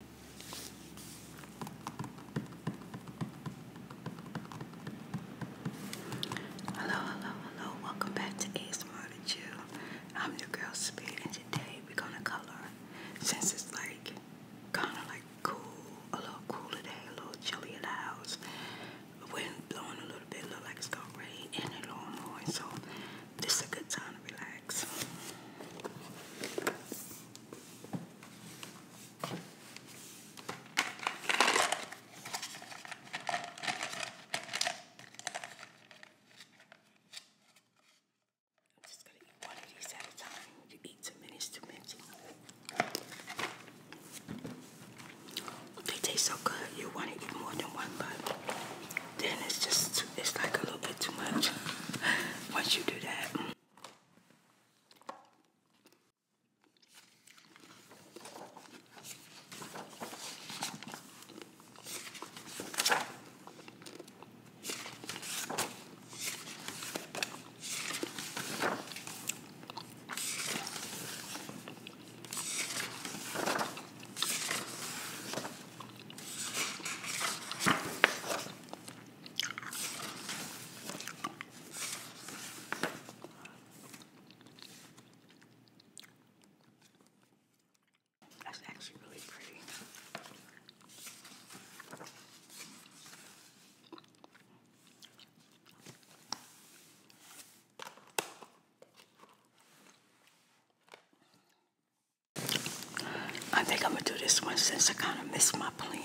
Hello, hello, hello. Welcome back to A Smart Chill. I'm your girl Speed, and today we're gonna color. Since it's like kind of like cool, a little cooler day, a little chilly in the house. The wind blowing a little bit, look like it's gonna rain, and a little more. So this is a good time to relax just gonna eat one of these at a time. You eat too many, it's too many. They taste so good. You want to eat more than one, but then it's just it's like a little bit too much once you do that. That's actually really pretty. I think I'm going to do this one since I kind of missed my plant.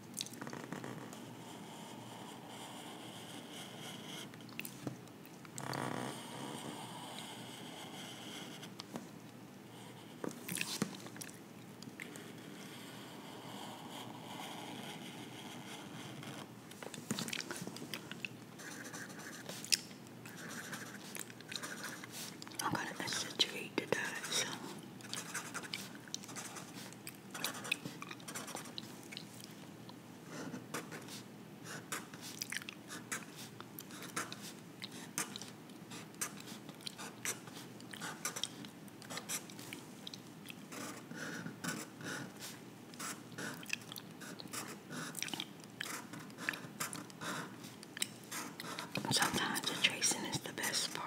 I'm gonna exaggerate the diet, Sometimes the tracing is the best part.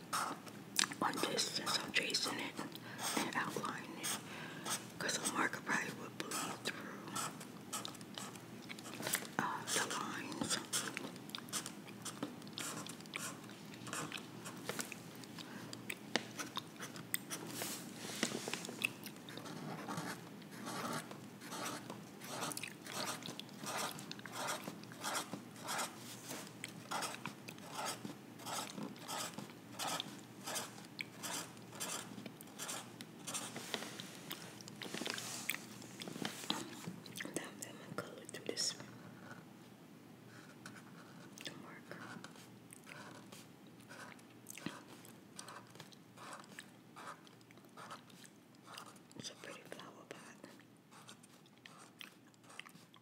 on this since I'm tracing it and outlining it because a marker probably would bleed through uh, the lines. Now i color through this the marker. It's a pretty flower pot.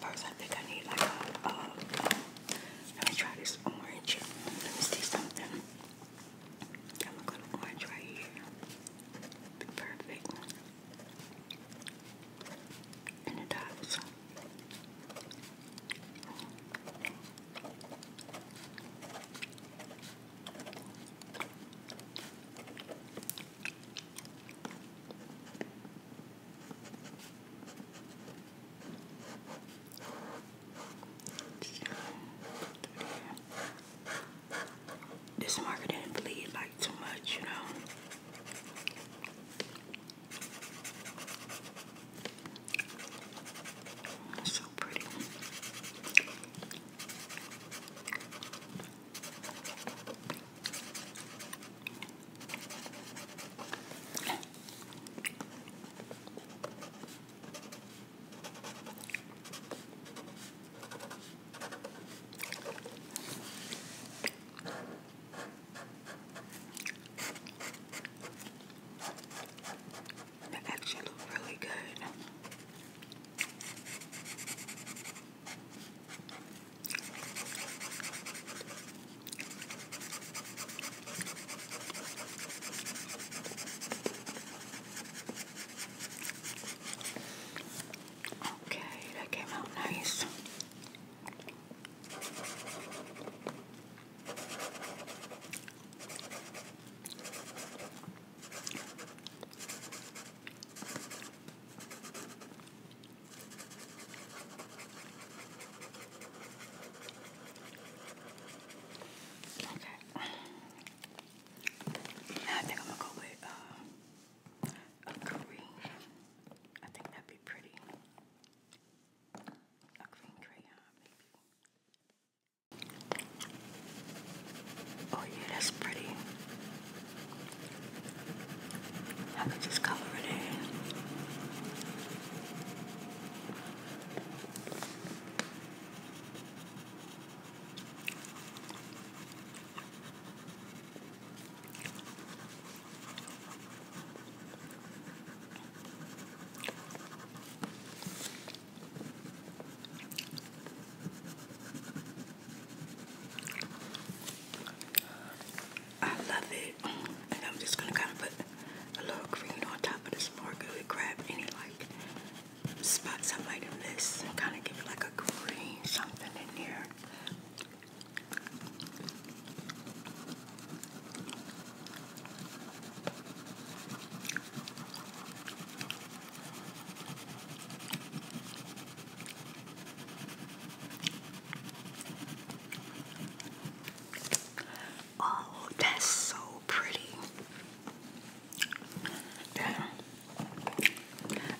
First, I think I need like a. let me try this orange. Let me see something. I'm gonna go to orange right here. perfect. And the dots. This marker didn't bleed like too much, you know. so pretty. They actually look really good. Okay, that came out nice. Okay. Now I think I'm gonna go with uh, a green. I think that'd be pretty. A green crayon, maybe. Oh yeah, that's pretty. I could just color it in. I love it. And I'm just going to kind of put a little green on top of the sparkle grab any like spots I might have missed and kind of give it like a green something in here. Oh, that's so pretty. Damn.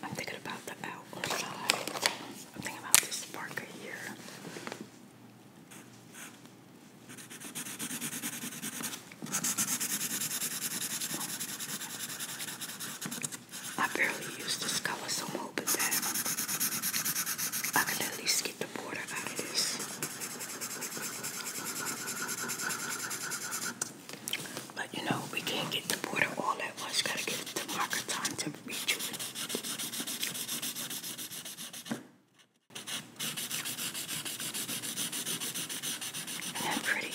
I'm thinking about the outside. thinking about this sparkle here. I barely used this color, so I'm hoping that I can at least get the border out of this. But you know, we can't get the border all at once. Gotta get it to marker time to reach it. Isn't that pretty?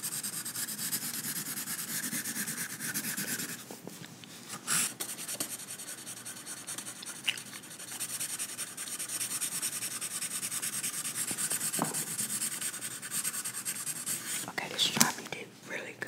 Okay, this strawberry did really good.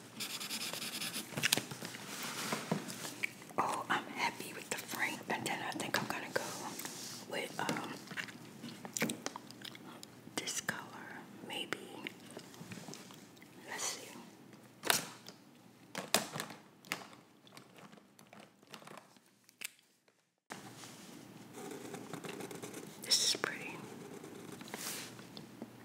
Oh, I'm happy with the frank, and then I think I'm gonna go with um this color, maybe. Let's see. This is pretty.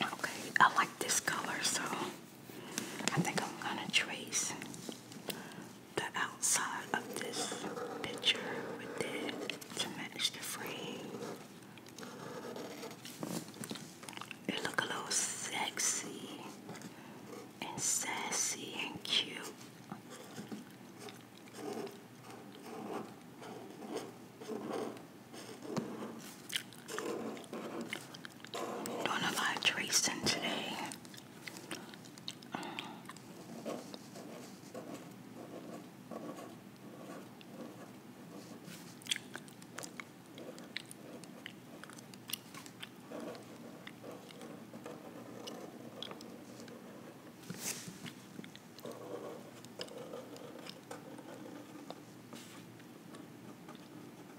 Okay, I like this color so I think I'm gonna trace the outside of this picture with this to match the frame. It look a little sexy and sassy and cute. Doing a lot of tracing today.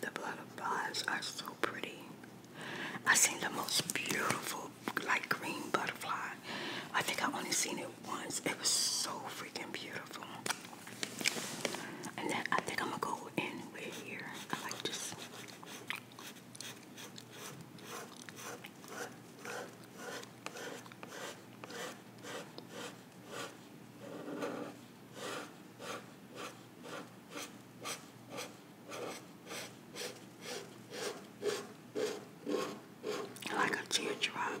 The blood are so pretty. I seen the most beautiful like green butterfly. I think I only seen it once. It was so freaking beautiful. And then I think I'm gonna go in with here. I like this like a teardrop.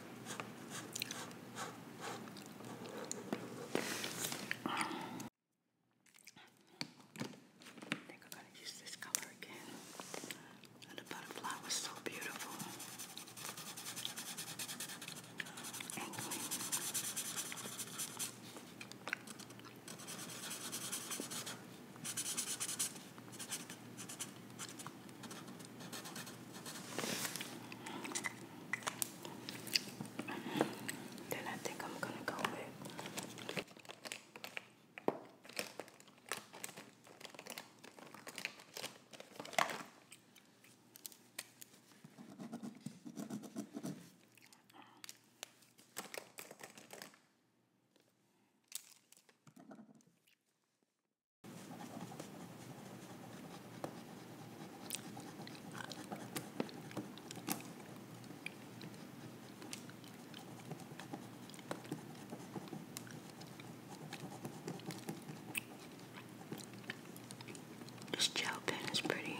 I think I'm gonna use this color again. And the butterfly was so beautiful and clean. Then I think I'm going to go with. This gel pen is pretty.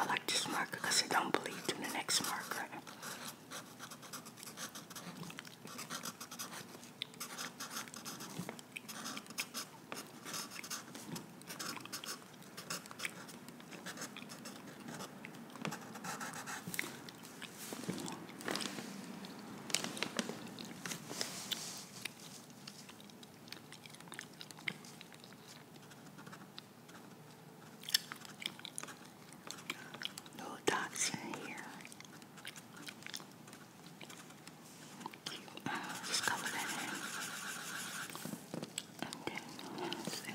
I like this marker because I don't believe in the next marker. Little dots in here. Uh, just cover that in. And then, so.